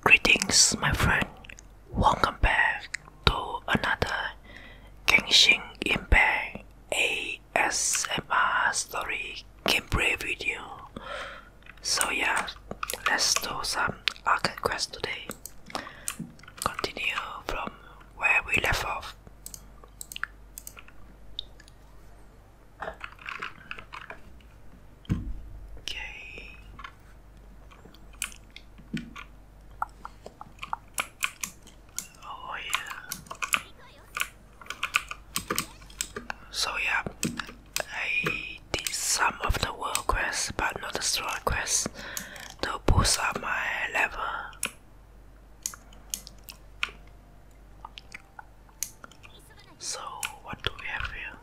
Greetings, my friend. Welcome back to another Genshin Impact ASMR story gameplay video. So yeah, let's do some arcade quest today. Continue from where we left off. Okay. Oh, oh yeah. So yeah, I did some of the world quests, but not the strong quests to boost up my level. So, what do we have here?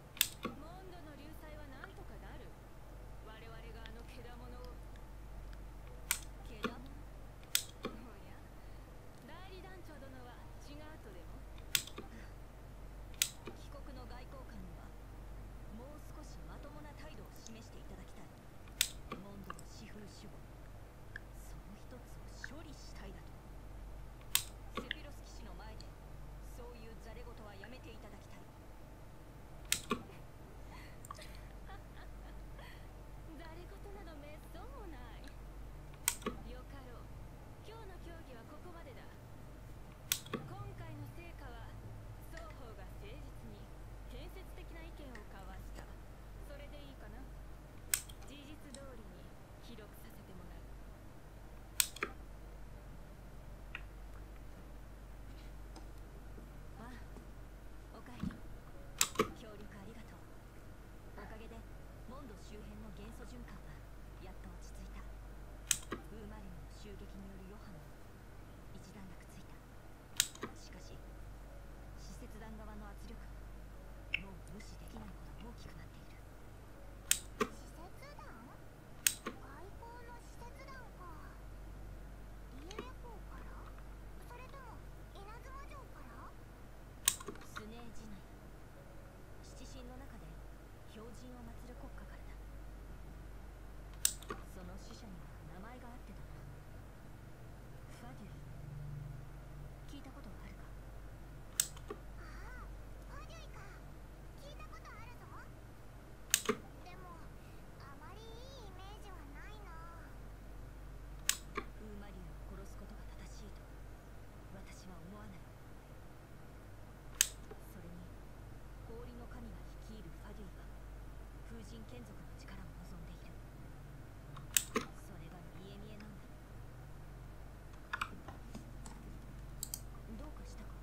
モモンンドドののののののははははとととと。かななる。我々があだだもも。ももを。ををやや代理理団長殿違ううううでで帰国外交官に少しししま態度示ていい。いいたたたき守護。そそつ処セロス騎士前れめていただきたいハハハ誰事などめっそうもないよかろう今日の競技はここまでだ今回の成果は双方が誠実に建設的な意見を交わしたそれでいいかな事実どおりに記録させてもらうあ、あおおかかかえりり協力がととう。げでモンド周辺のの元素循環はやっ落落ち着いいた。た。ウーマリ襲撃による余波も一段つしし、使節団外交ののの使使節団か？かかから？ら？らそそれとも稲妻城スネー七神中で標をる国家だ。者には名前がああファデュイか聞いたことあるぞでもあまりいいイメージはないなウーマリュウを殺すことが正しいと私は思わないそれに氷の神が率いるファデューは風神献族の力を望んでいるそれが見え見えなんだどうかしたか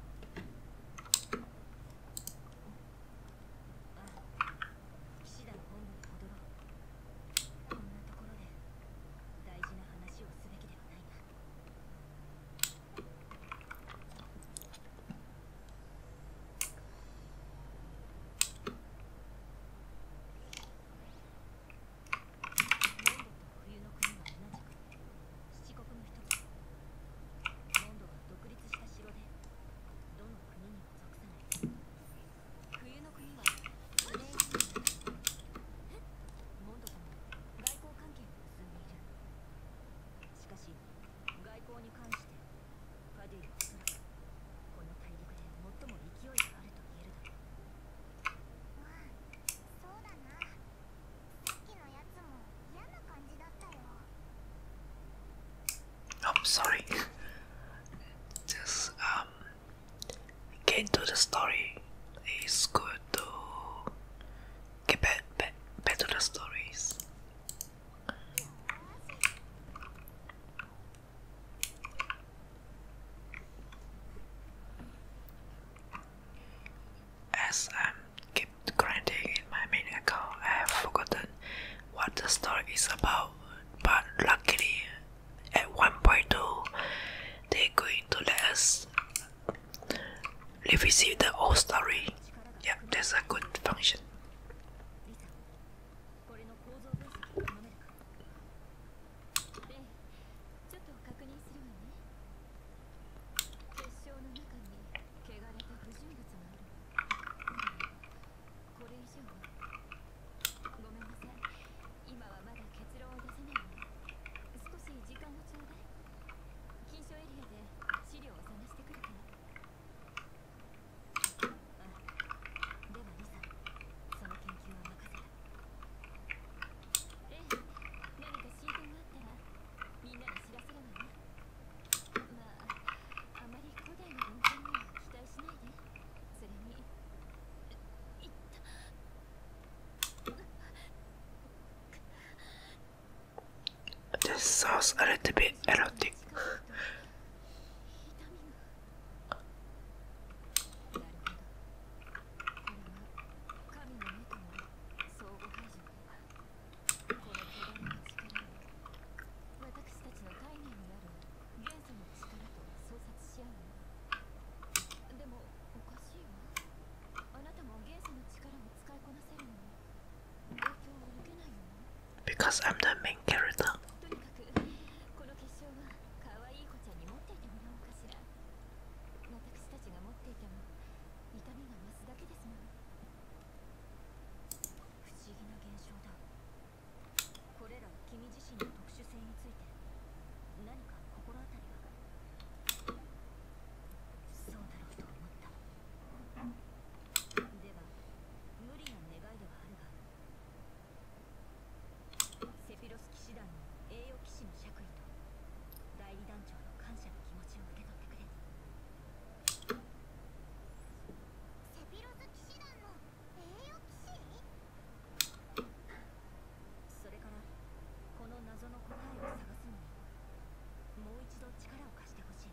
あ騎士団本部に戻ろろう。ここんなななととで、で大事話をすべきはいが冬の国同じく七国の一つモンドは独立した城でどの国にも属さない冬の国はグレーシーモンドとも外交関係が結んでいるしかし外交に関してカディはおそらくこの大陸で最も勢いがあると言えるだろうまあそうだな I'm sorry. Just um, get into the story. It's good to get back, back, back to the stories. As I'm keep grinding in my main account, I have forgotten what the story is about. But luckily, at 1.2, they're going to let us revisit the old story. Yeah, that's a good function. 汚れた不純物があるこれ以上はごめんなさい今はまだ結論を出せないの少し時間をちょうだい禁書エリアで資料を探してくるからあではリサその研究は任せるええ何か進展があったらみんな This sounds a little bit erotic. Because I'm the main character. 私たちが持っていても痛みが増すだけですもの不思議な現象だこれら君自身の特殊性について何か心当たりは？そうだろうと思ったでは無理な願いではあるがセフィロス騎士団の栄誉騎士の爵位と代理団長の感謝の気持ちを受け取ってくれセピロズ騎士団の栄誉騎士それからこの謎の答えを探すのにもう一度力を貸してほしい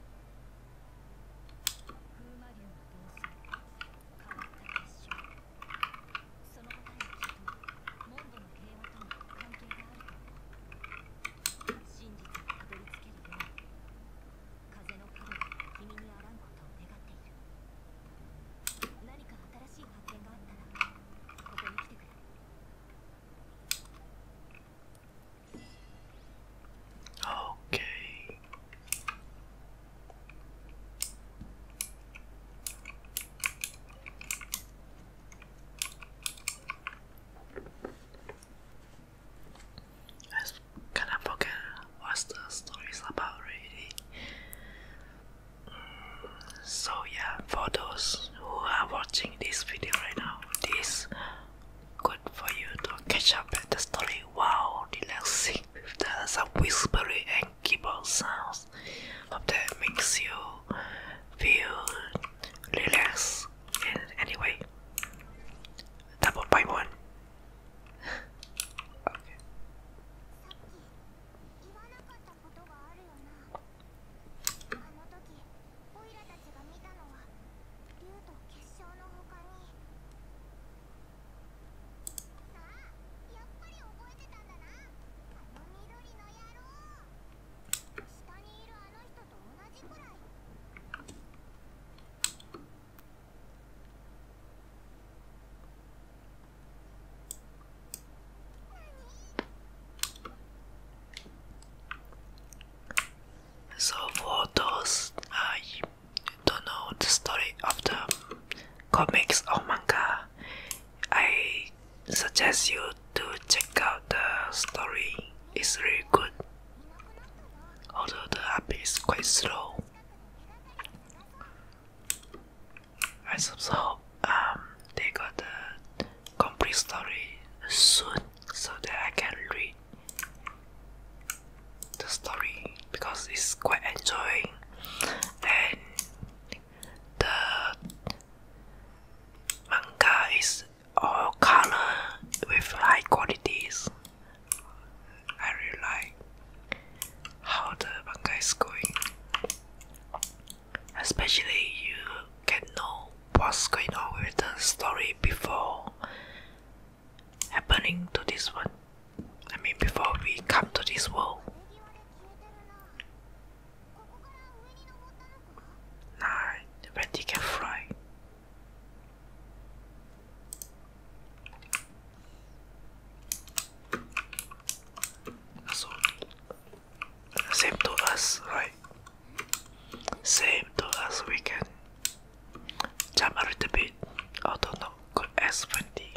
風魔竜の動詞変わった結晶その辺りはきっとモンドの平和との関係があると思う真実にたどり着けるよう風の角が君にあらんことを願っている何か新しい発見があったらここに来てくれオッケー I kinda forget what the story about really. so yeah, for those who are watching this video right now, this good for you to catch up at the story Wow, relaxing There's the some whispery and keyboard sounds. Hope that makes you feel relaxed And anyway, double by one. okay. So for I don't know the story of the comics or manga, I suggest you to check out the story. It's really good. Although the app is quite slow. I so um, they got the complete story soon so that I can read the story because it's quite enjoying and the manga is all color with high qualities. I really like how the manga is going. Especially you get know what's going on with the story before happening to this one. I mean before we come to this world. Nah, the can fly same to us, right? Same to us we can jump a little bit, I do not know. good as 20.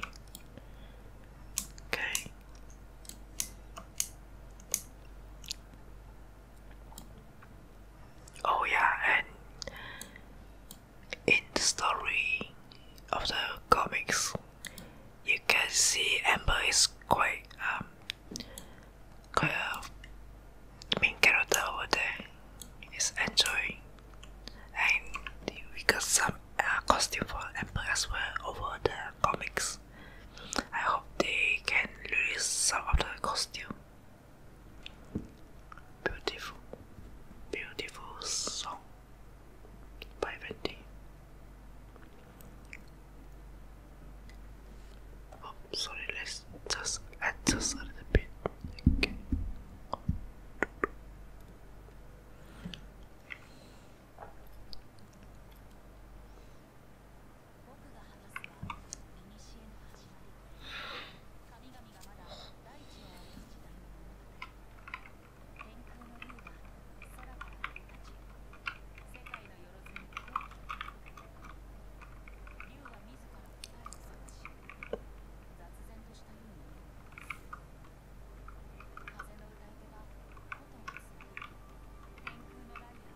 Okay. Oh yeah, and in the story of the comics, you can see Amber is quite um quite a character over there. Is enjoying, and we got some uh, costume for Amber as well over the comics. I hope they can release some of the costume Beautiful, beautiful song by Wendy. Oh, sorry, let's just adjust a little bit. Okay. 僕が話す場合、ピニシンの始まり。カミガミガマダ、ライチの時代のものだ。テンクのリュウは、サラファイルタチ。セカイのヨロテンク。リュウはミズカルファイルサラシ。ダツエンドしたいのに。カゼノタイガ、ホトウサラ。テンクのライヤー。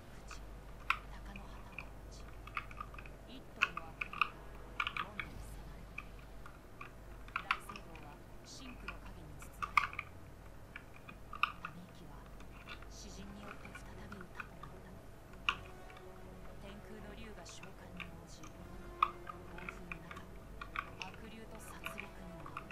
鷹の旗を撃ち1頭の悪龍が4度に下がる大聖堂は深くの陰に包まれたため息は詩人によって再び歌っていった天空の龍が召喚に応じ洪水の中悪龍と殺戮に遭ううううう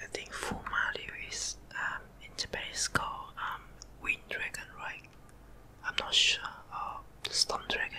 I think Fu Mario is um, in Japan is called um, Wind Dragon, right? I'm not sure. Uh, Storm Dragon.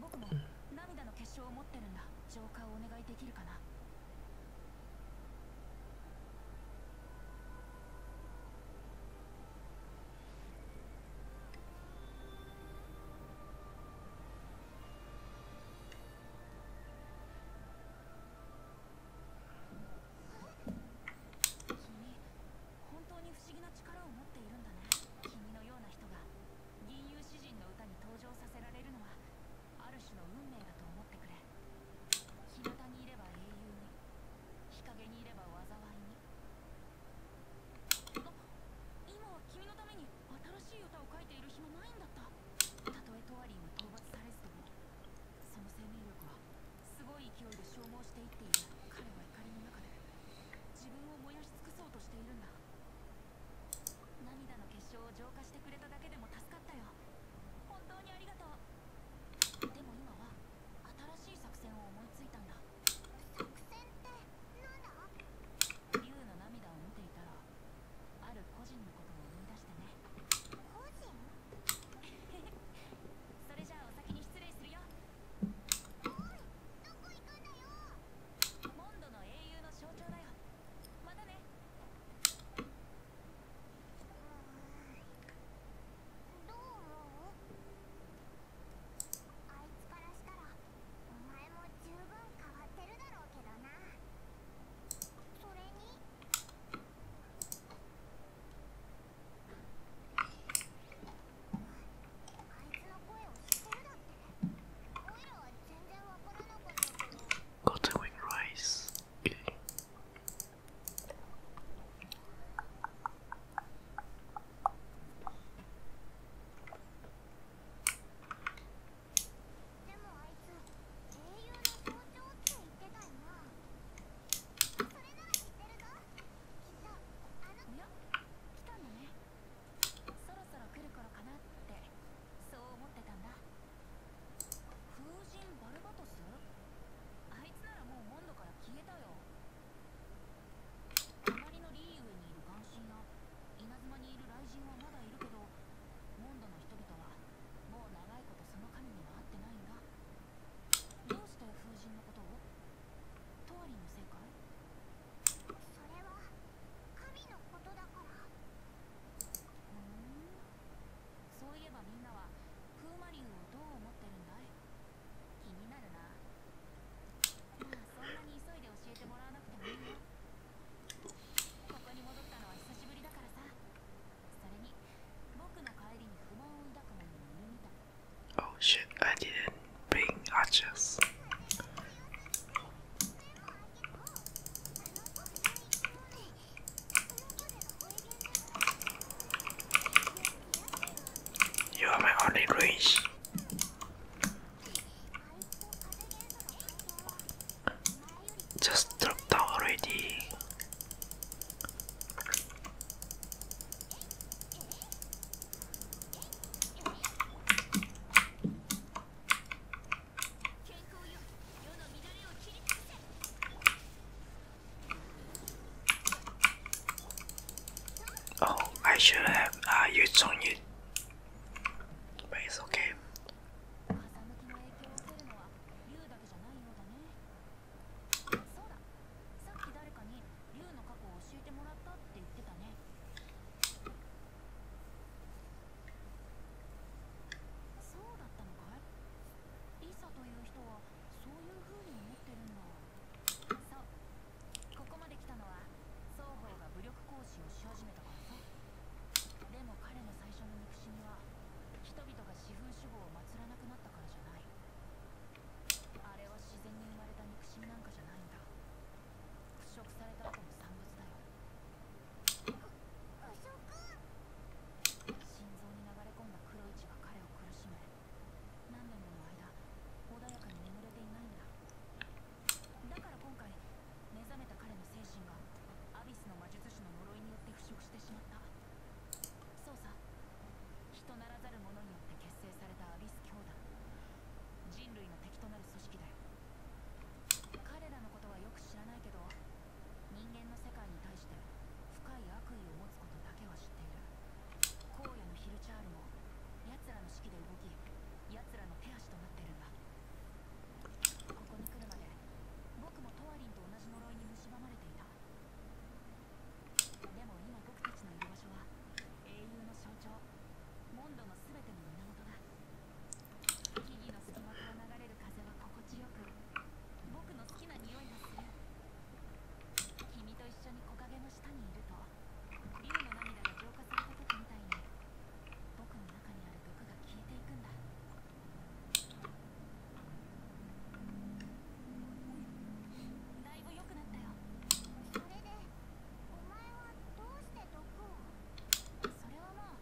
僕も涙の結晶を持ってるんだ浄化をお願いできるかな君本当に不思議な力を持っているんだね。君のような人が吟遊詩人の歌に登場させられるのはある種の運命だと思ってくれ日向にいれば英雄に日陰にいれば災いにあ今は君のために新しい歌を書いている暇ないんだったたとえトワリンは討伐されずともその生命力はすごい勢いで消耗していっている彼は怒りの中で自分を燃やし尽くそうとしているんだ涙の結晶を浄化してくれただけでも助かったよ本当にありがとうでも今は新しい作戦を思いついたんだ作戦ってなんだ竜の涙を見ていたらある個人のことを思い出してね個人 それじゃあお先に失礼するよおいどこ行くんだよモンドの英雄の象徴だよまたねどう思うあいつからしたらお前も十分変わってるだろうけどなそれにあいつの声を知ってるだっけ Cotton wing rice. Okay. そろそろ来る頃かなってそう思ってたんだ風神バルバトスあいつならもうモンドから消えたよ隣のリーウェにいる眼神や稲妻にいる雷神はまだいるけどモンドの人々はもう長いことその神には会ってないんだどうして風神のことをトワリの世界それは神のことだからうんそういえばみんなは風魔竜をどう思ってるんだい気になるなまあそんなに急いで教えてもらわなくてもいいよここに戻ったのは久しぶりだからさそれに僕の帰りに不満を抱く者もいるみたい You are my only race. Just drop down already. Oh, I should have uh, used on it, but it's okay. そうだったのかいリサという人はそういう風に思ってるんだそうここまで来たのは双方が武力行使をし始めたからさでも彼の最初の憎しみは人々が私風主語を祀らなくなったからじゃないあれは自然に生まれた憎しみなんかじゃないんだ腐食された後の産物だよ心臓にに流れれ込んだ。黒が彼を苦しめ何年もの間穏やか眠ていないら今回目覚めたた。彼ののの精神がアビス魔術師呪いによっってて腐食ししまそうさ、人ならざる者によって結成されたアビス兄弟。人類の敵となる組織だよ彼らのことはよく知らないけど人間の世界に対して深い悪意を持つことだけは知っている荒野のヒルチャールも奴らの指揮で動き奴らの手足となってるんだここに来るまで僕もトワリンと同じ呪いに蝕まれていたでも今僕たちのいる場所は英雄の象徴モンドのすべての源だ木々の隙間から流れる風は心地よく僕の好きな匂いがする君と一緒に木陰の下にいると竜の涙が浄化された時みたいに僕の中にある毒が消えていくんだだいぶ良くなったよそれでお前はどうして毒をそれはもう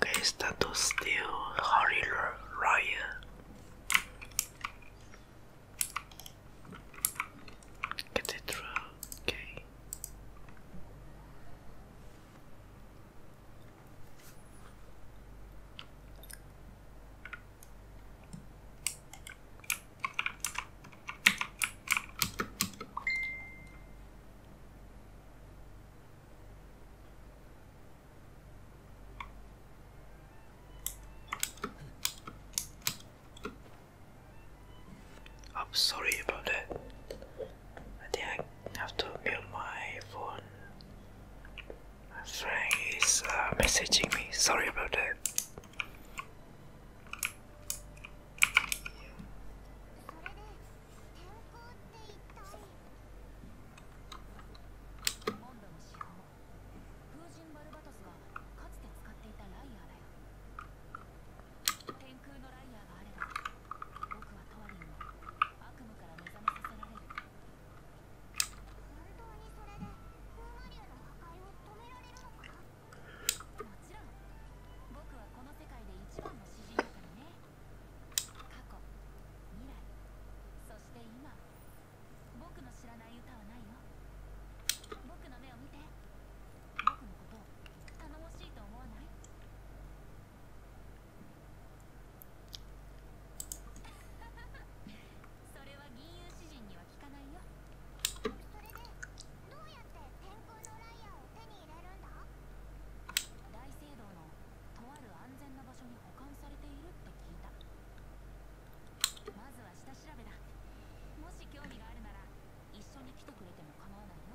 Okay, to steal hurry, Ryan. Get it through, okay. I'm sorry about that. I think I have to mute my phone. friend is uh, messaging me. Sorry about that. 本当にそれで風魔竜の破壊を止められるのかもちろん僕はこの世界で一番の詩人だからね過去未来そして今僕の知らない歌はないよ僕の目を見て僕のこと頼もしいと思わないハハハハッそれは銀融詩人には聞かないよそれでどうやって天空のライアーを手に入れるんだ大聖堂のとある安全な場所に保管されているって聞いたまずは下調べだもし興味があるなら一緒に来てくれても構わないよ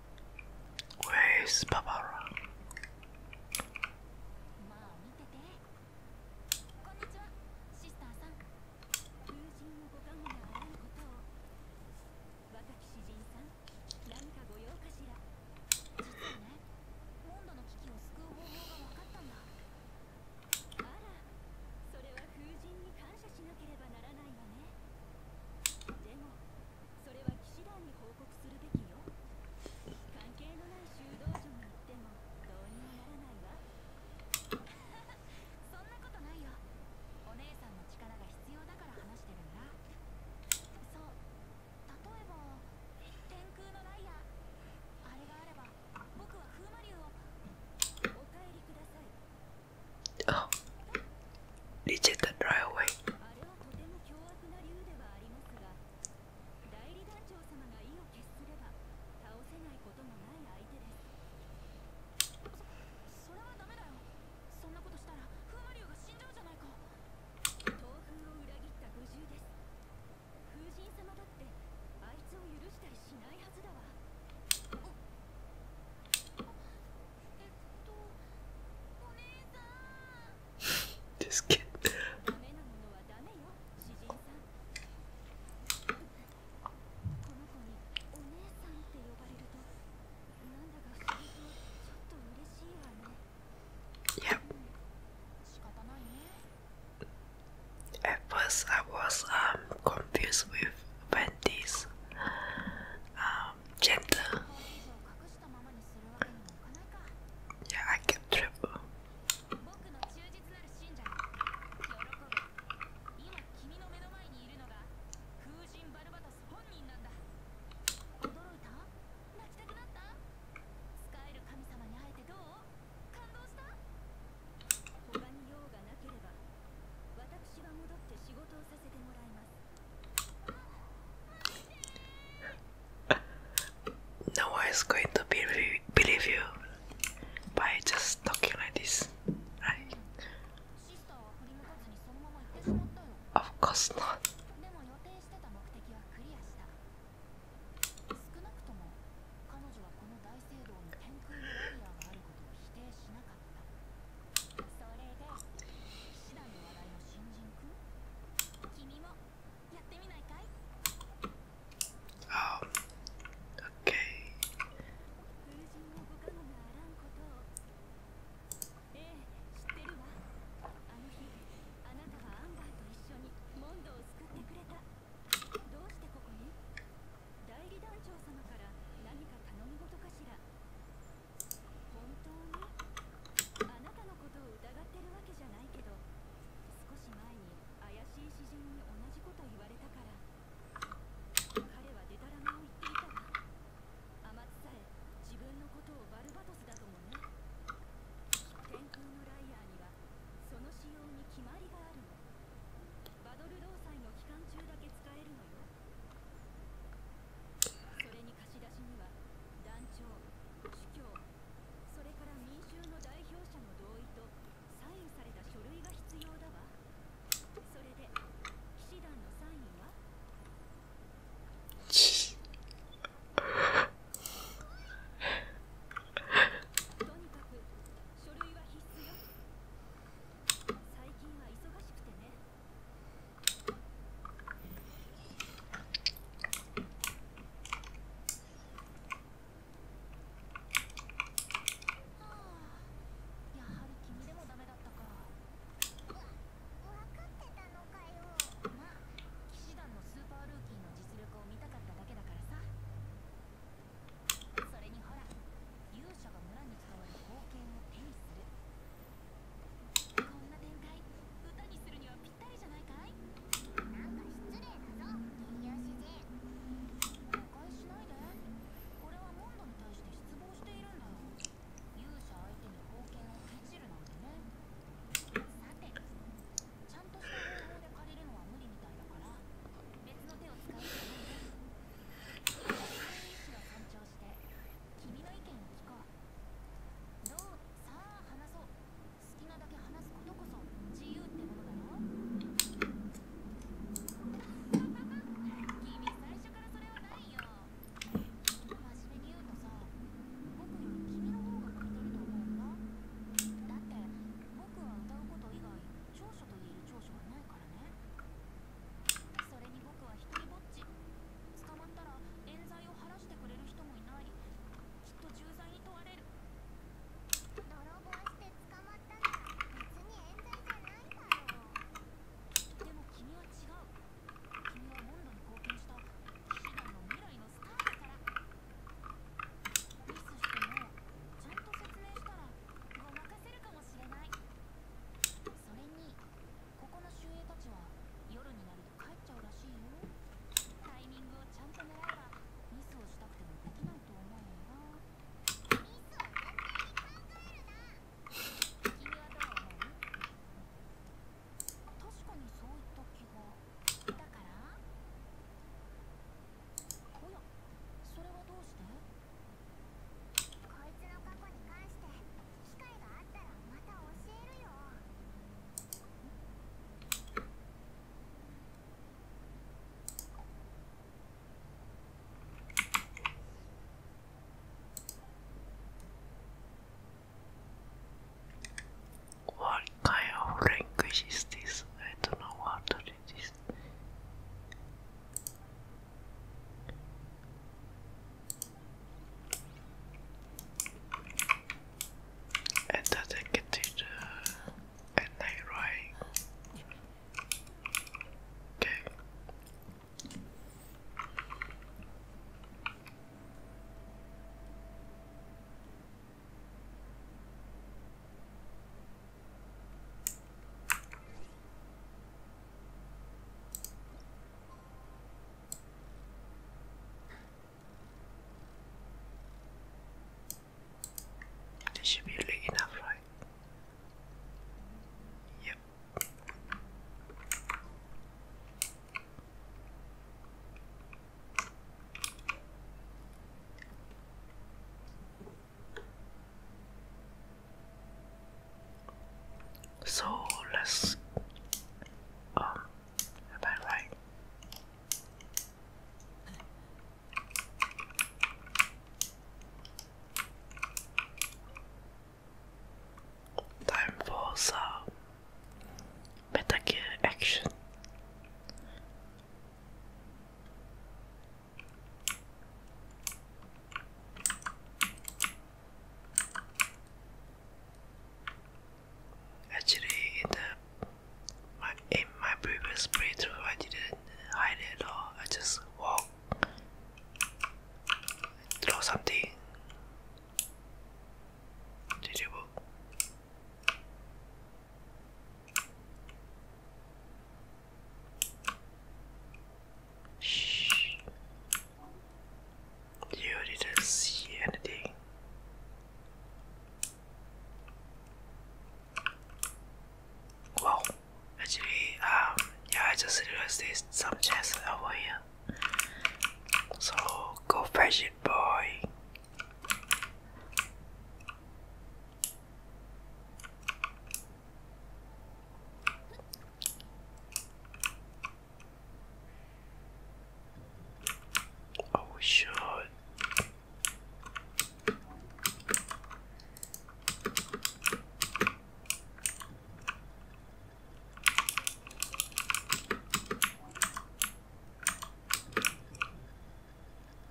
Where is まあ見ててこんにちはシスターさん友人のご加護があらぬことを若き詩人さん何かご用かしら実はねモンドの危機を救う方法が分かったんだあらそれは風神に感謝しなければならないわねでもそれは騎士団に報告するべきよ関係のない修道所に行ってもどうにもならないわ そんなことないよお姉さんの力が必要だから話してるんだそう例えば天空のライアあれがあれば僕は風魔竜をお帰りくださいとても凶悪な竜ではありますが代理団長様が意を決すれば倒せないこともない相手ですそそれはダメだよそんなことしたら風魔竜が死んじゃうじゃないか東風を裏切った五重です風神様だってあいつを許したりしないはずだわえっとお姉さん Just kidding. Yep. At first, I was um confused with Wendy's um gender. Yeah, I can trip. no one is going to believe you b でも予定してた目的はクリアしたも彼女はこの大聖した Oh, okay. あ本当にあなたのことを疑ってるわけじゃないけど少し前に怪しい詩人に同じこと言われたから彼はでたらめを言っていたわ甘津さえ自分のことをバルバトスだともね天空のライアーにはその使用に決まりがあるのバドル労災の期間中だけ使えるのよそれに貸し出しには団長主教それから民衆の代表者の同意とサインされた書類が必要だわそれで騎士団のサインは とにかく書類は必須よ最近は忙しくてね。はあやはり君でもダメだったかわかってたのかよまっ騎士団のスーパールーキーの実力を見たかっただけだからさそれにほら勇者が村に伝わる冒険を手にするこんな展開歌にするにはピッタリだよなぴっじゃないかいなんか失礼だぞ言い足で誤解しないでこれはモンドに対して失望しているんだよ勇者相手に貢献をけじるなんてねさてちゃんとした方法で借りるのは無理みたいだから別の手を使うしかないね意思を尊重して君の意見を聞こうどうさあ話そう好きなだけ話すことこそ自由ってものだろ君最初からそれはないよ真面目に言うとさ僕より君の方が聞いてると思うんだだって僕は歌うこと以外長所と言える長所はないからねそれに僕は一りぼっち捕まったら冤罪を晴らしてくれる人もいない。きっと重罪に問われる泥棒して捕まったなら別に冤罪じゃないだろうでも君は違う君はモンドに貢献した騎士団の未来のスターだからミスしてもちゃんと説明したらごまかせるかもしれないそれにここの守衛たちは夜になる帰っちゃうらしいよタイミングをちゃんと狙えばミスをしたくてもできないと思うよなミスを勝手考えるな君はどう思う確かにそういった気がだからおやそれはどうしてこいつの過去に関して機会があったらまた教えるよ。What kind of language is this? I don't know what it is and doesn't contain the right? Okay. This should be enough, right? Yep. So let's um Am right? Time for some Metal action. Actually, in the my in my previous playthrough, I didn't hide at all. I just walk, throw something to the book. Shh. You didn't see anything. Well, actually, um, yeah, I just realized there's some chance over here. So go fetch it, boy. Oh, shit! should.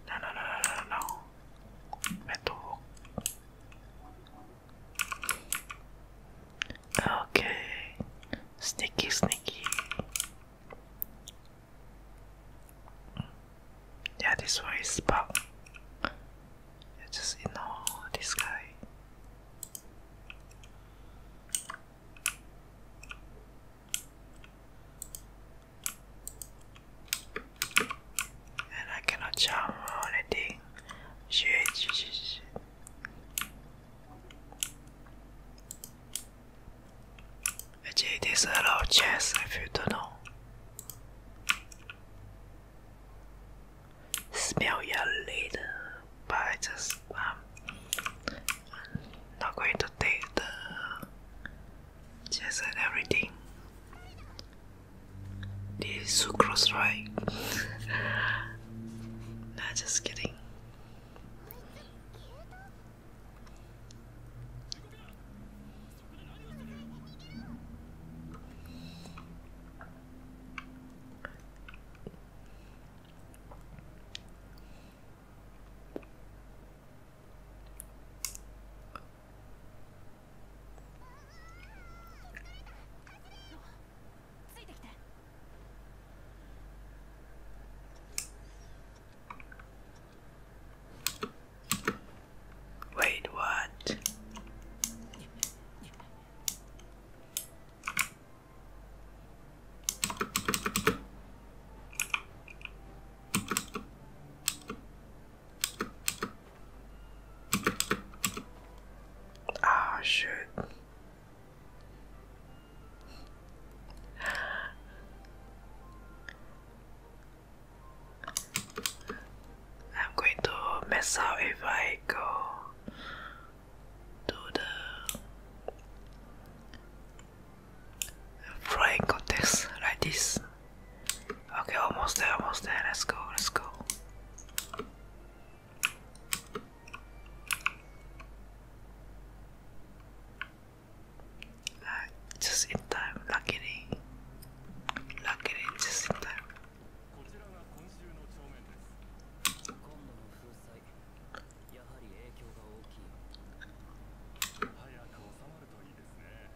No, no, no, no, no, no. Me tuvo. Okay. Sneaky, sneaky. Yeah, this one is bug. Yeah, just ignore this guy. And I cannot jump anything. shit it is a lot of chess if you don't know. Smell your lead, but I just um not going to take the chess and everything. This is sucrose, right? nah, just kidding. ついてきて。Wait, what? oh, ah, shit. I'm going to mess up if I go to the flying context like this. Okay, almost there, almost there. Let's go, let's go. こちらが今週の帳面です今度の風災やはり影響が大きい早く収まるといいですね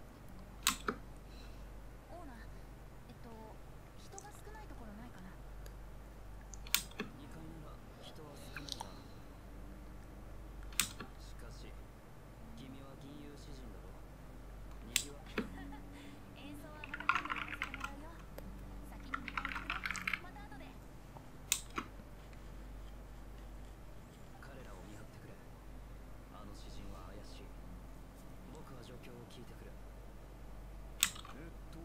オーナーえっと人が少ないところないかな2階なら人は少ないがしかし君は銀融詩人だろにぎわ演奏はまた今度やらせてもらうよ先に迎えてくれまた後で彼らを見張ってくれあの詩人は怪しい僕は状況を聞いてくれえっと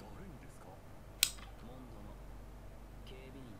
誰にですかモンドの警備員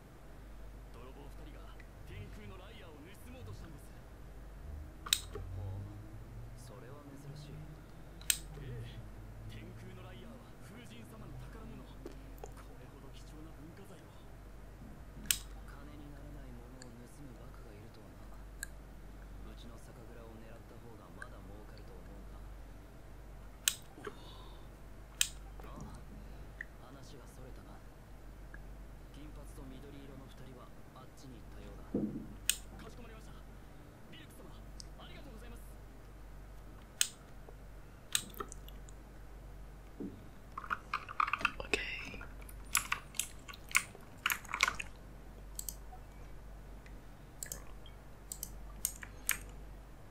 泥棒2人が天空のライアーを盗もうとしたんですほうそれは珍しいええ天空のライアーは風神様の宝物これほど貴重な文化財を金にならないものを盗むバクがいるとはなうちの酒蔵を狙った方がまだ儲かると思うがおああ話がそれたな金髪と緑色の二人はあっちに行ったようだかしこまりましたビルク様ありがとうございますーってて今日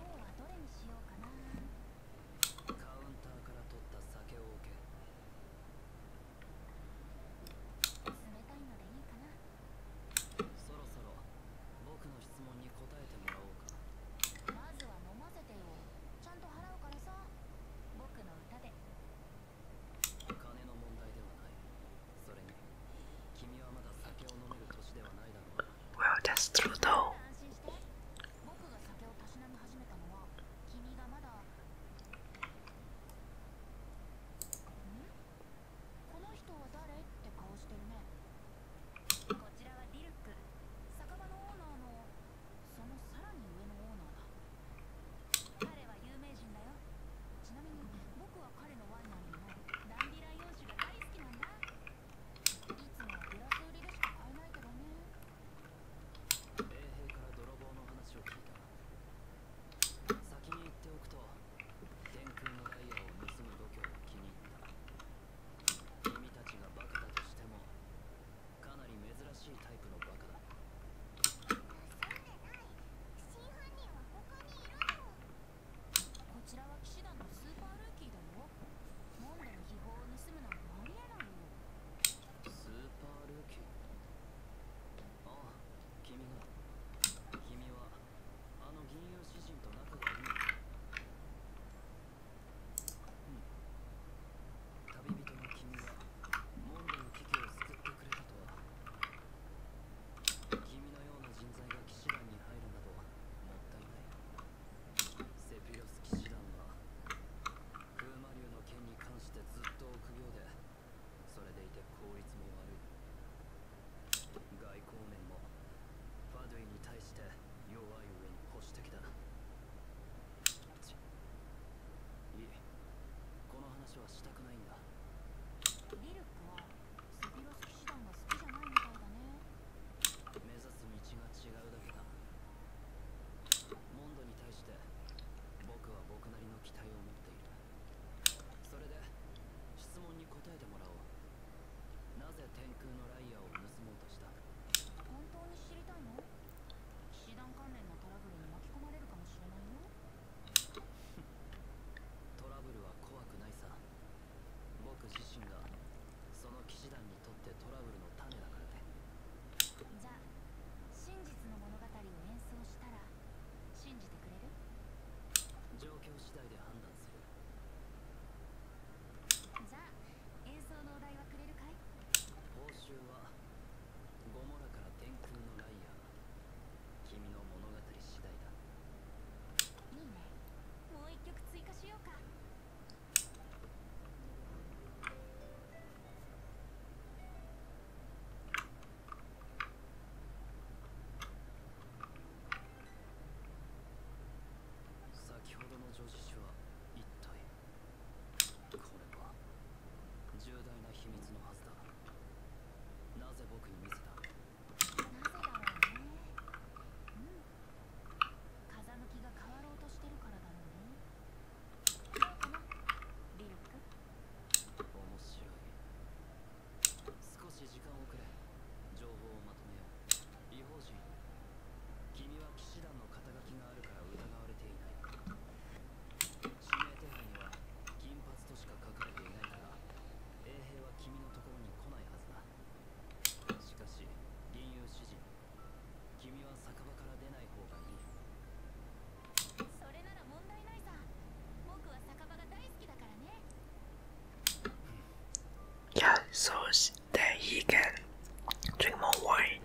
ははどれににしよよ。うううかかかか。かな？な？カウンターらららたた酒を受け。冷いいいのののでで。そそろろ僕僕質問答えもおままず飲せちゃんと払さ。歌金の問題ではない Well, that's true though. 彼のワイナリダンディライオージが大好きなんだいつもグラス売りでしか買えないけどね衛兵から泥棒の話を聞いた先に言っておくと天空のダイヤを盗む度胸を気に入った君たちがバカだとしてもかなり珍しいタイプのバカだそんなない真犯人は他にいるのこちらは騎士団のスーパールーキーだよモンドの秘宝を盗むなんてありえないよスーパールーキーああ君が君はあの銀融詩人と仲がいいのか旅人の君はモンドの危機を救ってくれたとは君のような人材が騎騎士団に入るなどもったいないセピロス騎士団は風魔竜の件に関してずっと臆病でそれでいて効率も悪い外交面もファドゥイに対して弱い上に保守的だいいこの話はしたくないんだミルクはセピロス騎士団が好きじゃないみたいだね目指す道が違うだけだモンドに対して僕は僕なりの期待を持っているそれで質問に答えてもらおうなぜ天空のライヤーを盗もうとした本当に知りたいの騎士団関連のトラブルに巻き込まれるかもしれないよトラブルは怖くないさ僕自身がその騎士団にとってトラブルの種だからねじゃあ真実の物語を演奏したら信じてくれる状況次第で判断するじゃあ演奏のお題はくれるかい報酬はゴモラから天空のライアー君の物語次第だいいね。もうう曲追加しよか。先ほどのはは一体。これ重大な秘密のはずだなぜ僕に見せたなななぜだだろろろううううう。ね。ね。ん。風向きがが変わわとととしししてててるるかかかかかららら、リルック面白い。いい。いい少時間ををくれ、れれ情報ま、めよ異邦人君ははは騎士団の肩書書あ疑指名手配に金髪衛兵君のところに来ないはずだしかし吟遊詩人君は酒場から出ない方がいいそれなら問題ないさ僕は酒場が大好きだからね Yeah, so that he can drink more wine.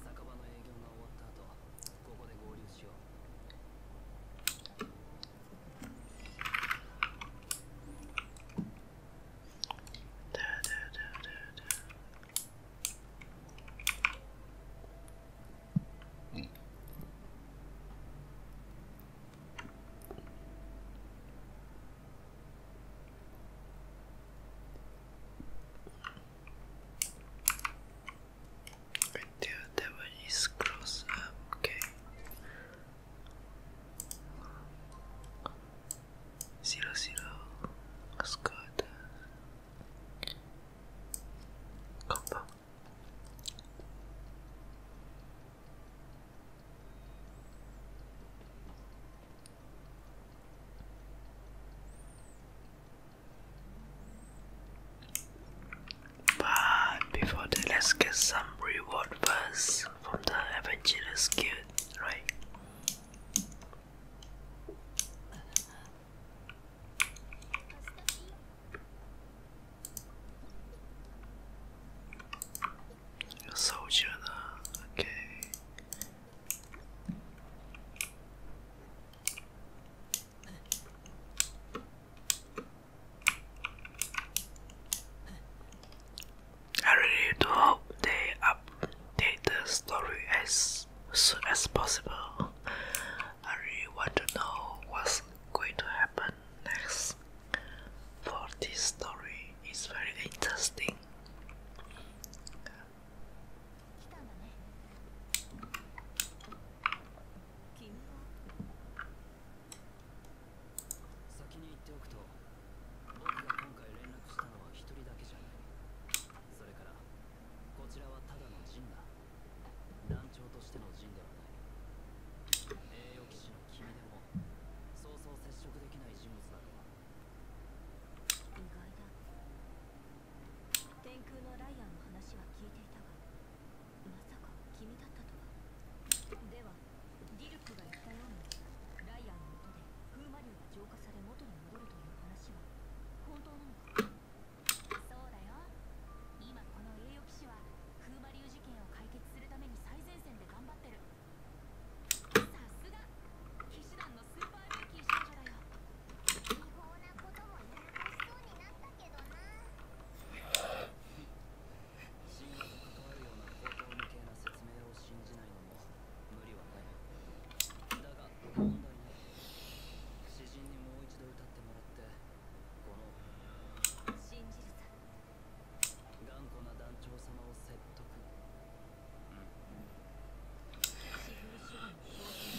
酒場の営業が終わった後ここで合流しよう Da, da, is close, okay. Zero zero. That's good. Combo. But before that, let's get some reward first from the Evangelist Guild, right? A soldier, okay. I really do hope they update the story as soon as possible. I really want to know what's going to happen next. For this story it's very interesting. 先に言っておくと僕が今回連絡したのは1人だけじゃないそれからこちらはただの陣だ団長としての陣ではない栄誉騎士の君でもそうそう接触できない人物だろう意外だ天空のライアンの話は聞いていたがまさか君だったとはではディルクが言ったようにライアンの音で風魔竜が浄化され元に戻るという話は本当なのかそうだよ今この栄誉騎士は風魔竜事件を解決するために最前線で頑張ってるさすが騎士団のスーパールーキー少女だよ違法なこともやらかしそうになったけどなあ信用と関わるような方向向けな説明を信じないのも無理はないだが問題ない詩人にもう一度歌ってもらってこの信じるさ頑固な団長様を説得うんうん、フルシュガーの挑る。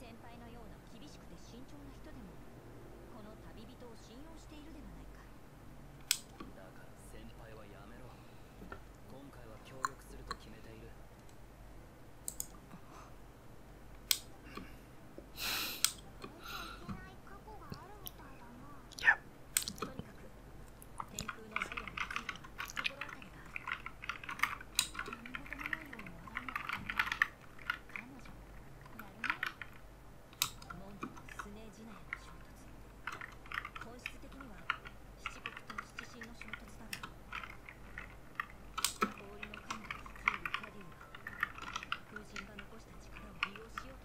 先輩のような厳しくて慎重な人でもこの旅人を信用しているではないかだから先輩はやめろ今回は協力すると決めている yep 天空のダイヤについては心当たり何事もなな。いいよよううにに笑彼女やるる。る。んとととスネージナののの衝衝突。突本質的はは？七七国神神神だがが。氷を風残しした力利用でこ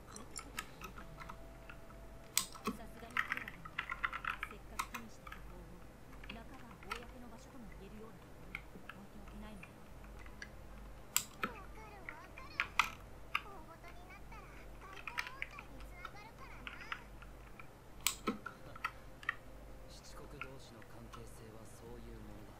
さすががににににに彼らららはせっっかかかかく手したた。加工を公のの場所ともいいいえるる。る。るような。なななな。置ておけで大問題七国同士の関係性はそういうもんだ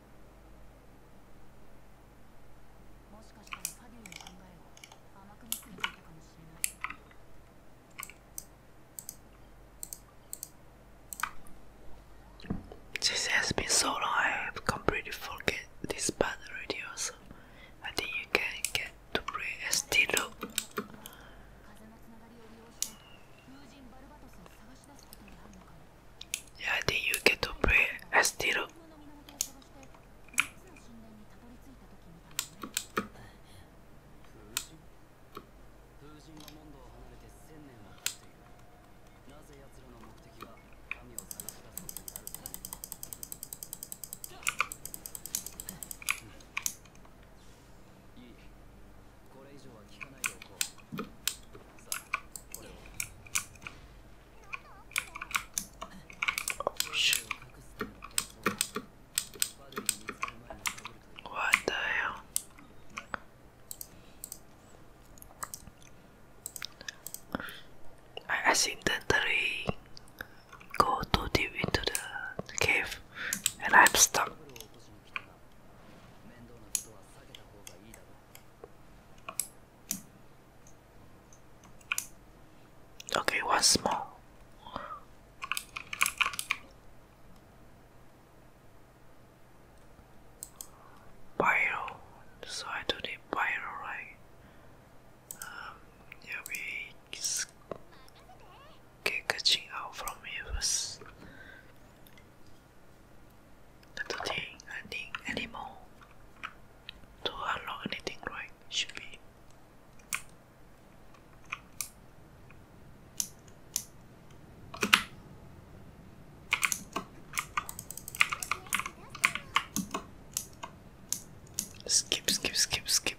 This has been so long, I have completely forget this part Radio. Also, I think you can get to play SD loop. Yeah, I think you get to play as Tiro. What the hell? I accidentally go too deep into the cave and I'm stuck. Okay, one more. Pyro. So I do the pyro right. Um, yeah, we get catching out from here first entertain anything anymore. To unlock anything, right? Should be. Skip, skip, skip, skip.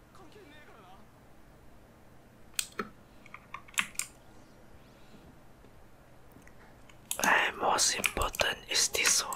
And most important is this one.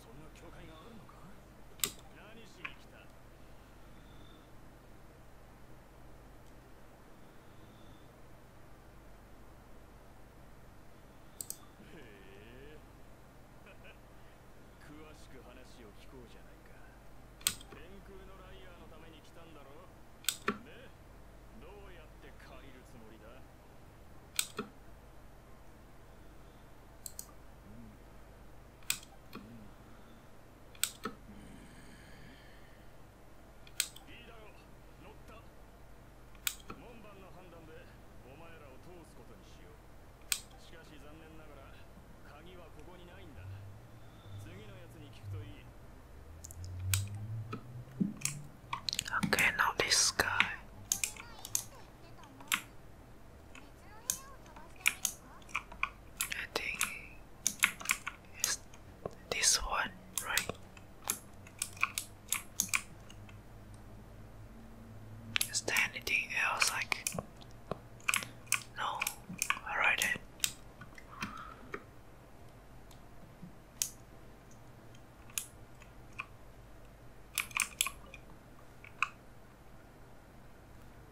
そんな教会があるのか？何しに来た詳しく話を聞こうじゃないか。天空ののライーたために来んだろねどうやって借りるつもりだいいだろう乗った門番の判断でお前らを通すことにしようしかし残念ながら鍵はここにないんだ次のやつに聞くといい Okay, now this guy. I think it's this one, right? Is there anything else I No. Alright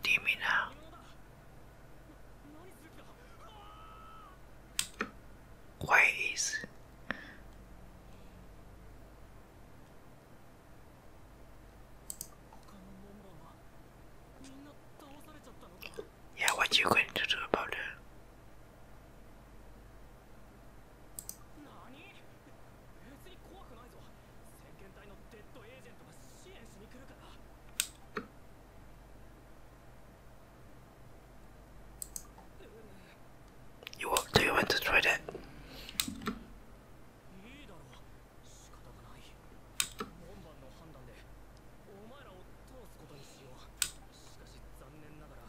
do you mean now? Uh, why is yeah, what are you going to do about it? 何別に怖くないぞ先遣隊のデッドエージェントが支援しに来るからいいだろう仕方がない門番の判断でお前らを通すことにしようしかし残念ながら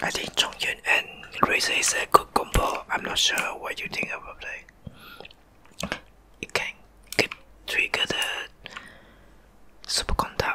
I think Chong Yun and Razor is a good combo. I'm not sure what you think about that. It get trigger the superconductor.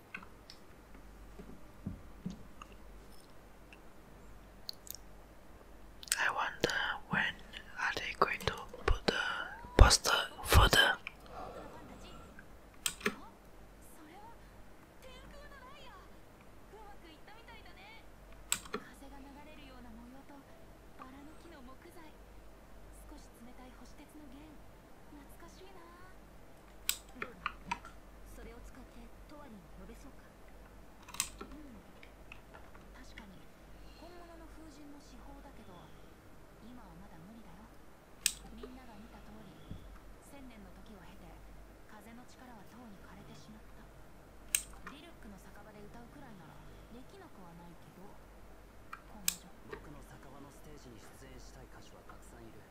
I wonder when are they going to put the poster further? 懐かしいなそれを使ってトワリン呼べそうかうん確かに本物の風神の至宝だけど今はまだ無理だよみんなが見た通り千年の時を経て風の力はとうに枯れてしまったディルックの酒場で歌うくらいならできなくはないけど僕の酒場のステージに出演したい歌手はたくさんいる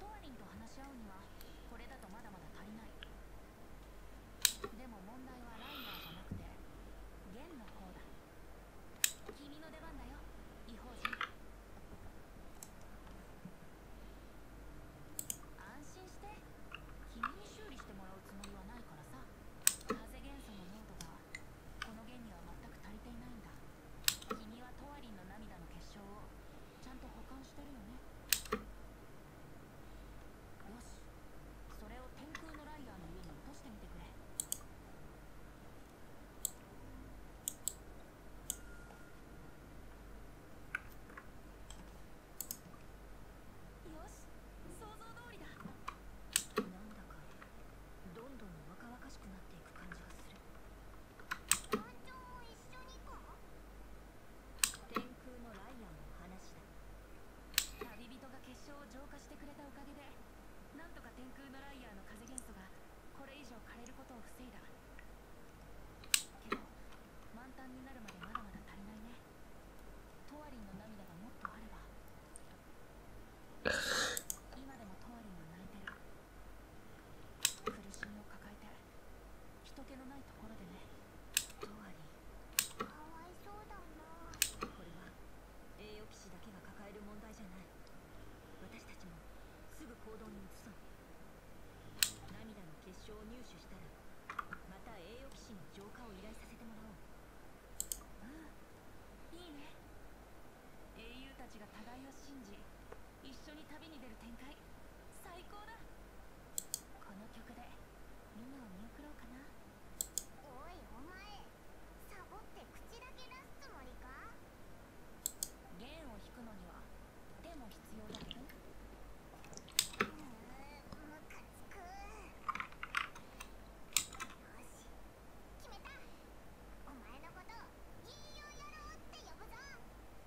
トワリンと話し合うにはこれだとまだまだ足りないでも問題はライナーじゃなくて弦の方だ君の出番だよ異邦人安心して君に修理してもらうつもりはないからさ風元素の濃度がこの弦には全く足りていないんだ君はトワリンの涙の結晶をちゃんと保管してるよねよしそれを天空のライアーの家に落としてみてくれよし想像通りだなんだかどんどん若々しくなっていく感じがする。天天空空のののののラライイアアンン話だ。だ。だだ旅人がががをを浄化してくれれれれた。おかかげで、でととと風元素ここ以上枯るる防いいけど満タにななままま足りね。トワリ涙もっあば。今でもトワリンは泣いてる苦しみを抱えて人気のないところでねとはいかわいそうだなこれは栄誉騎士だけが抱える問題じゃない私たちもすぐ行動に移そう涙の結晶を入手したらまた栄誉騎士に浄化を依頼させてもらおううんいいね英雄たちが互いを信じ一緒に旅に出る展開最高だこの曲でみんなを見送ろうかなおいお前サボって口だけ出すつもりか弦を弾くのには手も必要だけどうーんムカつくよし決めたお前のこと銀をやろうって呼ぶぞ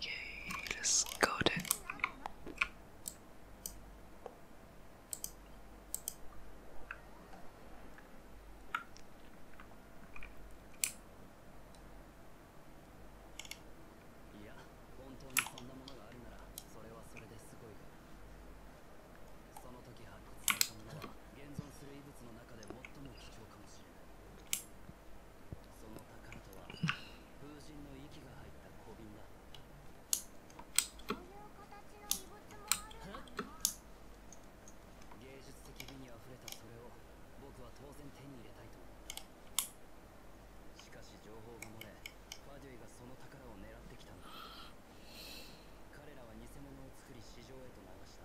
Yay, let's go then. そそそのののの宝宝ととはは風神息ががが入入っっったた。たた。た小瓶だ。だ。い芸術的美ににれれれれをを僕当然手思しし、か情報漏ファデ狙てき彼らは偽物を作り市場へと流した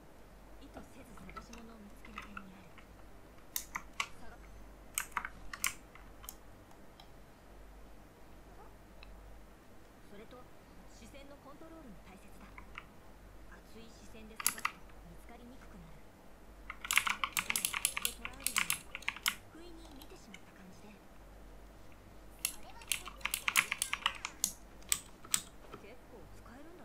意図せず探し物を見つける点にあるそれと視線のコントロールも大切だ熱い視線で探すと見つかりにくくなるでも一で捉えるのうに不意に見てしまった感じでそれは結構使えるんだ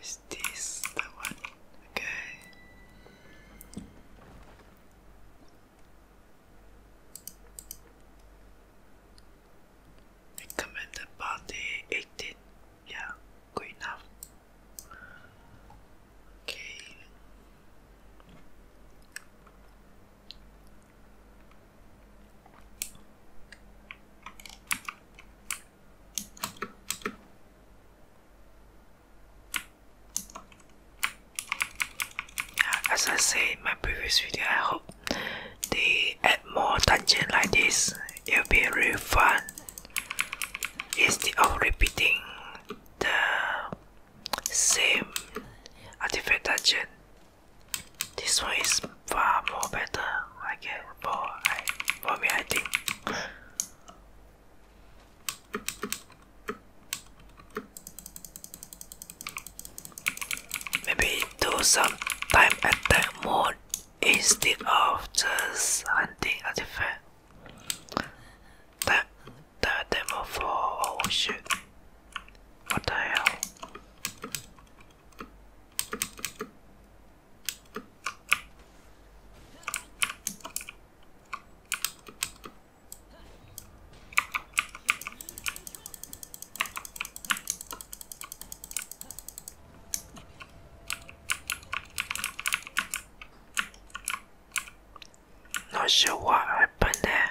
is this the one? Okay. Recommended party 18. Yeah, good enough. Okay as I said in my previous video, I hope they add more dungeon like this. It'll be really fun instead of repeating the same artifact dungeon. This one is far more better, I guess for I for me I think maybe do some time attack mode instead of just hunting artifact that that demo for oh shit what the hell not sure what happened there.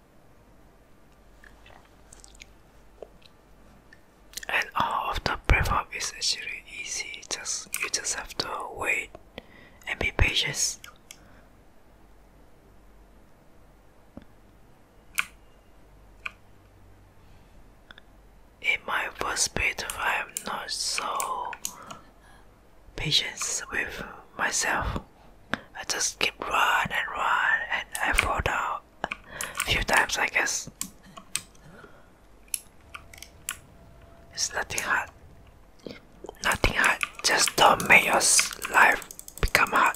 and all of the prep is actually easy just you just have to wait and be patient in my first bit I'm not so patient with myself I just keep run and run and I fall down a few times I guess. It's nothing hard. Nothing hard. Just don't make your life become hard.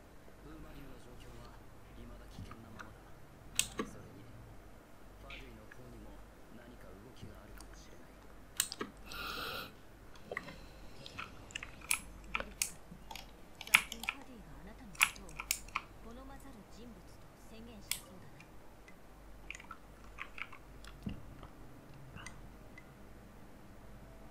ウーマリオの状況は未だ危険なままだそれにファディの方にも何か動きがあるかもしれないク最近ファディがあなたのことを好まざる人物と宣言したそうだな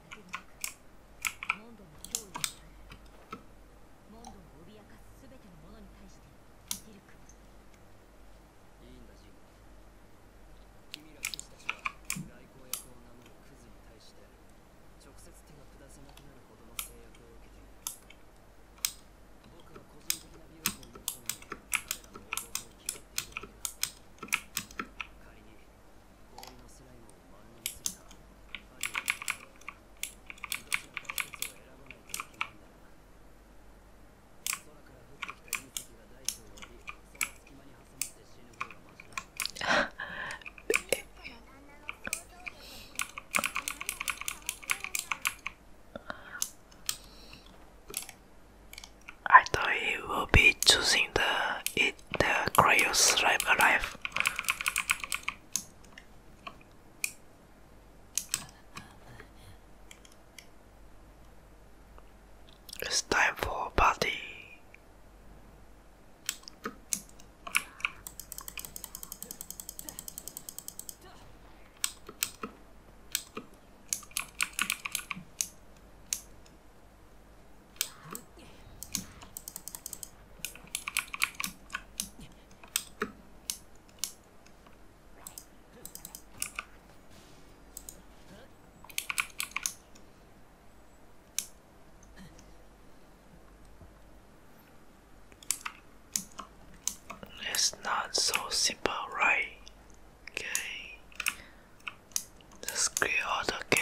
モンドの脅威を脅かすすべてのものに対してできるかいいんだ、ジム君ら君たちは外交役を名乗るクズに対して直接手を下さなくなるほどの制約を受けている僕の個人的なビルを求めたら報道を決めているだけだ仮にゴールのスライムを受けた。I thought he will be choosing the the Cryos arrive alive. It's time for a party. It's not so simple, right? Okay, let's clear the game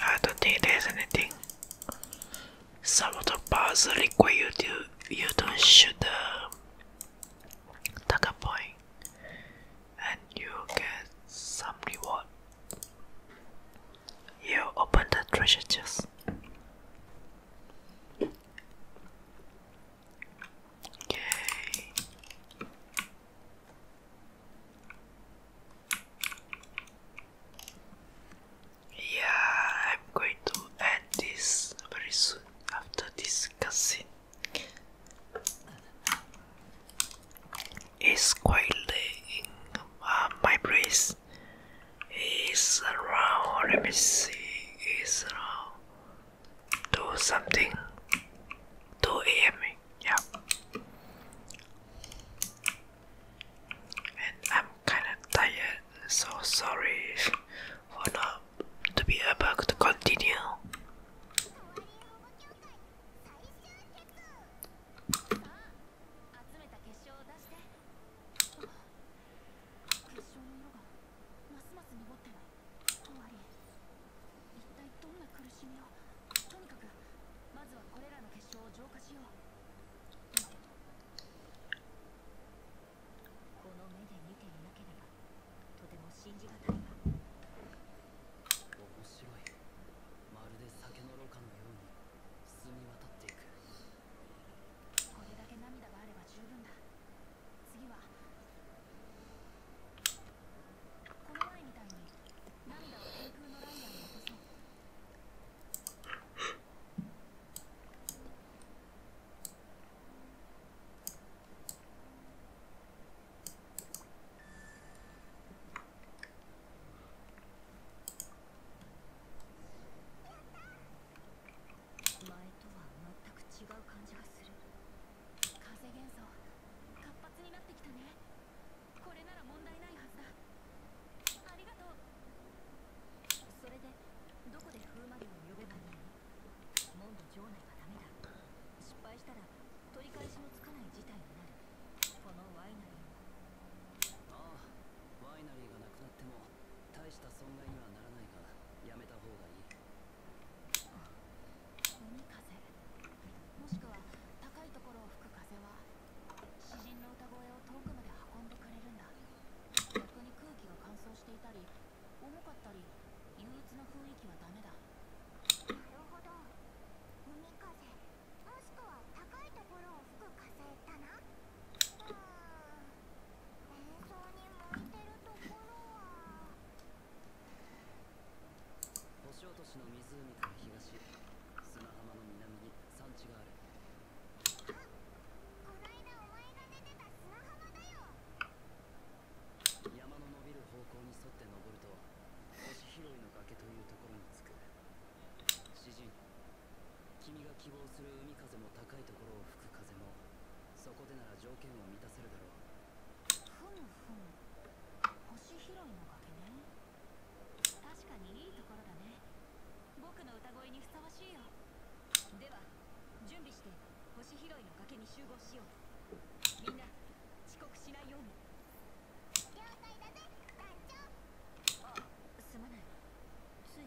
I don't think there's anything. Some of the bars require you to you don't shoot the Taka point and you get some reward. You open the treasure chest. Yeah, I'm going to end this very soon after this It's quite late in uh, my brain. It's around let me see It's around Do something 2 a.m. yeah and I'm kinda tired so sorry for not to be able to continue 結結晶晶ののの色ががままますす。ってててなないいわ。り。一体どん苦ししみを。をととにかく、ずはここれれら浄化よう。見目でけばも信じた面白いまるで酒のろ過のように澄み渡っていくこれだけ涙があれば十分だ次はこの前みたいに涙を天空のライアンに落とそう前とは全く違う感じがする風元素活発になってきたねこれなら問題ないはずだありがとうそれでどこで風魔竜を呼べばいいのモンド城内はダメだ失敗したら取り返しのつかない事態になるこのワイナリーもああワイナリーがなくなっても大した損害にはならないがやめた方がいい海風もしくは高いところを吹く風は詩人の歌声を遠くまで運んでくれるんだ逆に空気が乾燥していたり重かったり憂鬱な雰囲気はダメだなるほど海風もしくは高いところを吹く風だなうんに向いてるところは？星落としの湖から東砂浜の南に山地があるあこないだお前が出てた砂浜だよ山の伸びる方向に沿って登ると星拾いの崖というところに着く詩人君が希望する海風も高いところを吹く風もそこでなら条件を満たせるだろうふむふむ星拾いの崖ね確かにいいところだね僕の歌声にふさわしいよでは準備して星拾いの崖に集合しようみんな遅刻しないように了解だぜ団長あすまないつい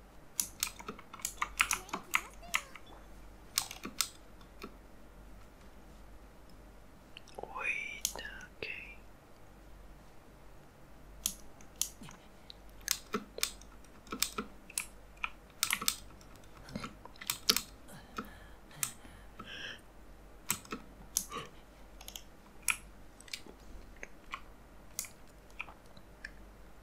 Wait, okay.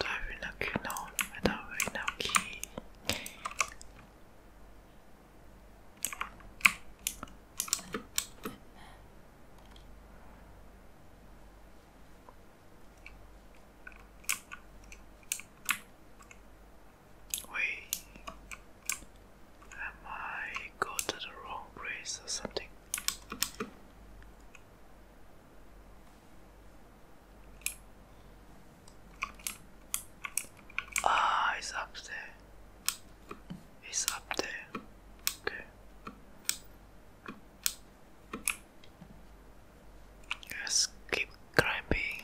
Darwinaki no, Darwinaki. Wait, am I go to the wrong place or something? Ah, it's up there. It's up there. Okay. let keep climbing.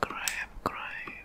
Climb, climb.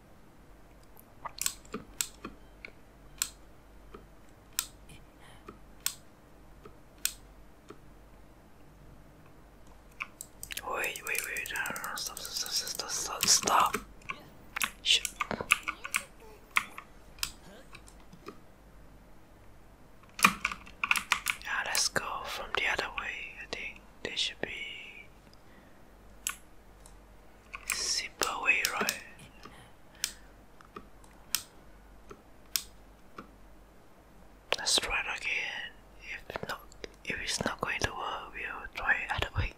Wait, wait, wait, stop, stop, stop, stop, stop. Yeah, let's go from the other way. I think they should be Zip Let's try it again. If not, if it's not going to work, we'll try it other way.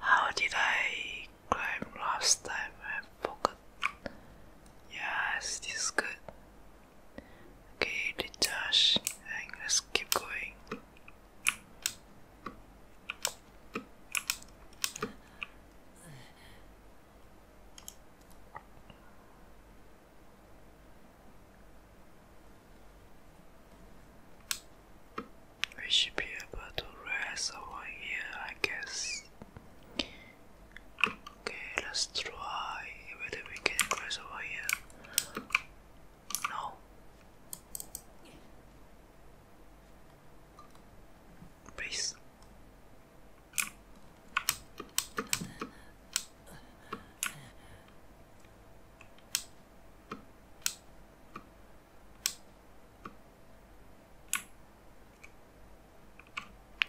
How did I climb last time? I forgot. Yes, this is good. Okay, detach let's keep going. We should be able to rest over here, I guess. Okay, let's try whether we can rest over here. No. Please.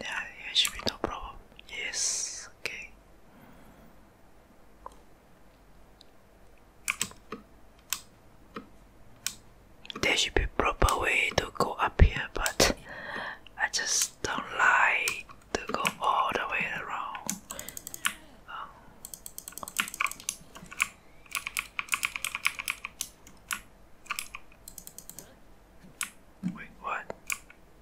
Yeah, yeah, should be no problem. Yes, okay. There should be proper way to go up here, but I just don't like to go all the way around. Um, wait, what?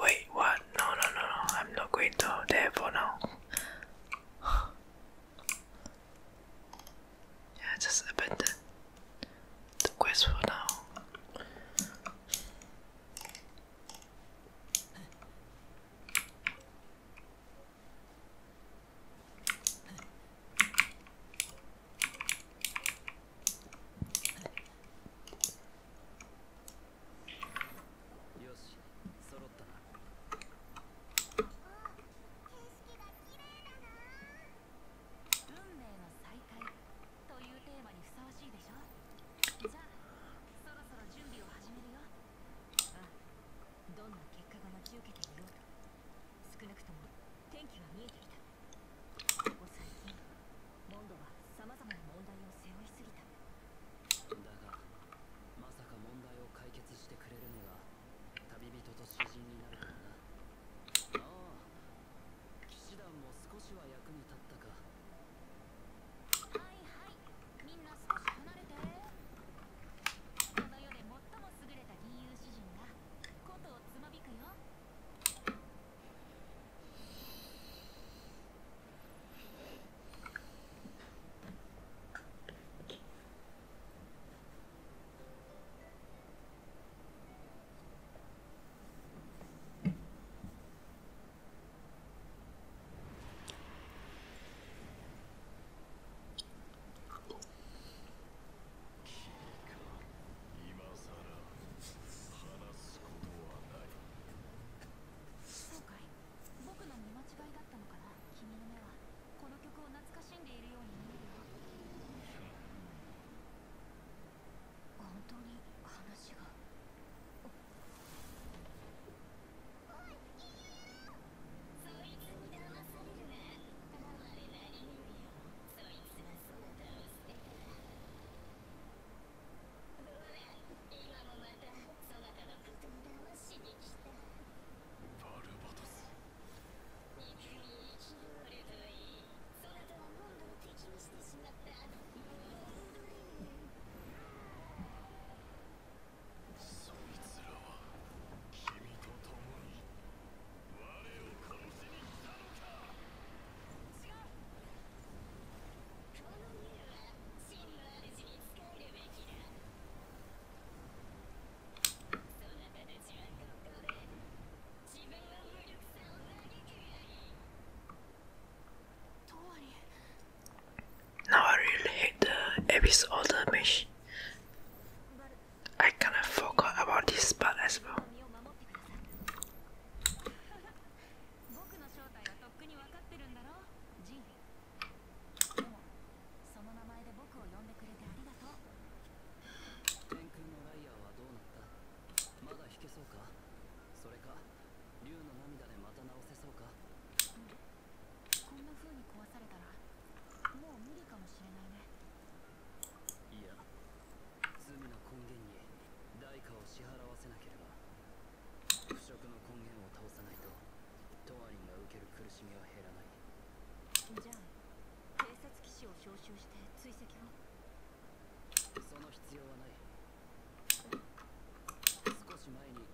Wait, what? No, no, no, no. I'm not going to there for now. Yeah, just abandon the quest for now. フッよしそろったなあっ景色がきれいだな運命の再会というテーマにふさわしいでしょじゃあそろそろ準備を始めるようんどんな結果が待ち受けていようか少なくとも天気は見えていたここ最近モンドはさまざまな問題を背負いすぎただがまさか問題を解決してくれるのが旅人と詩人になるからなああ騎士団も少しは役に立ったかはいはいみんな少し離れてこの世で最も優れた吟遊詩人が琴をつまびくよ君か今更話すことはない今回僕の見間違いだったのかな君の目はこの曲を懐かしんでいるように見えるよ本当に話がそいつにだまされるなら、あれなりに、そいつがそなたをして、今もまたそなたのことだましできた。バルボトス。いつに生きるか、そなたのものを適してしまった。そいつらは君と共に我を殺しに来たのかこのミルは真の主に仕えるべきだそなたたちはここで自分は無力さを嘆くがいいとわり Now I really hate the episode I kinda forgot about this part as well. こんな風に壊されたらもう無理かもしれないねいや罪の根源に代価を支払わせなければ腐食の根源を倒さないとトワリンが受ける苦しみは減らないじゃあ偵察騎士を招集して追跡をその必要はない少し前に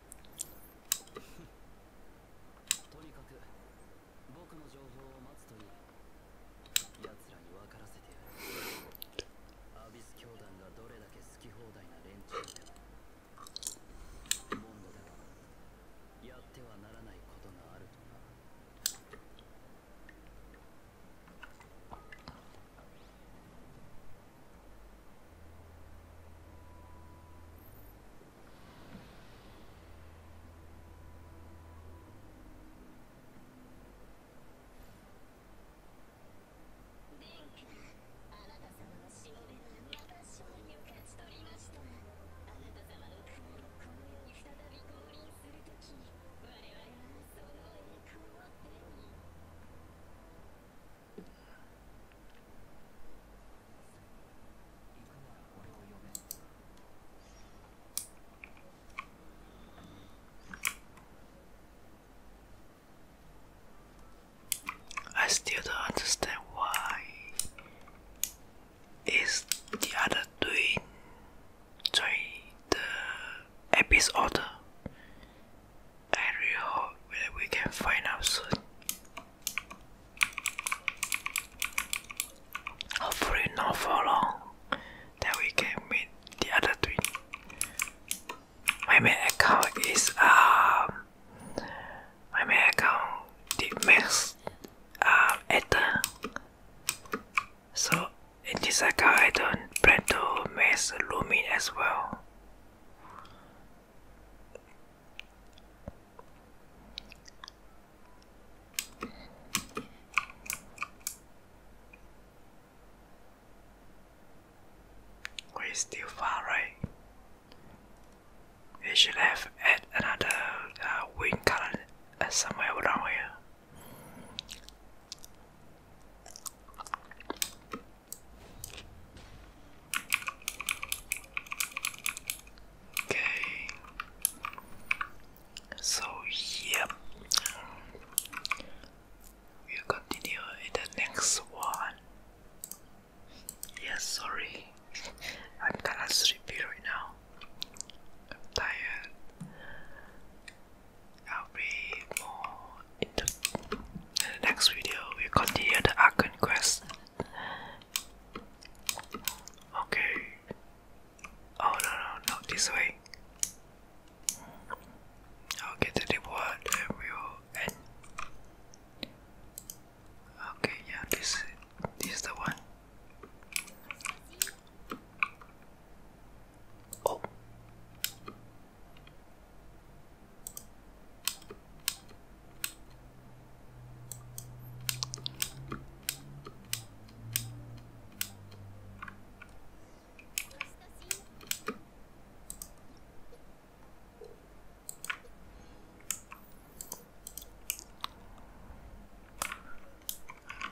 とにかく僕の情報を待つというやつらに分からせてやるアビス教団がどれだけ好き放題な連中でもモンドではやってはならないことがあるとな電空あなた様の死を目指しておりましたあなた様の船のこの世に再び降臨するとき我らはそのエコーを手に。I still don't understand why is the other doing, doing the episode I really hope that we can find out soon. Hopefully, not for long, Then we can meet the other twin. My main account is um my main account the max uh ether. So in this account I don't plan to max Lumi as well. We're still far, away. We should have add another wing uh, wind uh, somewhere around here. Okay. So yep. we continue in the next one. Yes, sorry. I'm kinda sleepy right now. tired. I'll be more in the, next video we'll continue the Arkan quest. Okay. Oh no no not this way. I'll get the word and we'll end. Okay, yeah, this this is the one. Oh.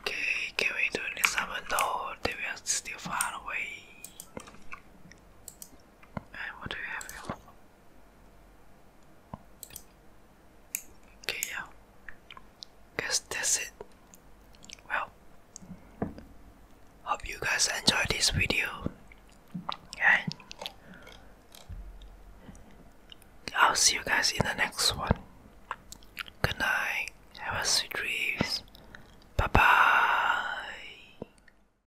Okay, can we do this? I know they are still far away. And what do you have Okay, yeah. Guess that's it. Well, hope you guys enjoyed this video, and I'll see you guys in the next one. Good night. Have a sweet dreams. Bye bye.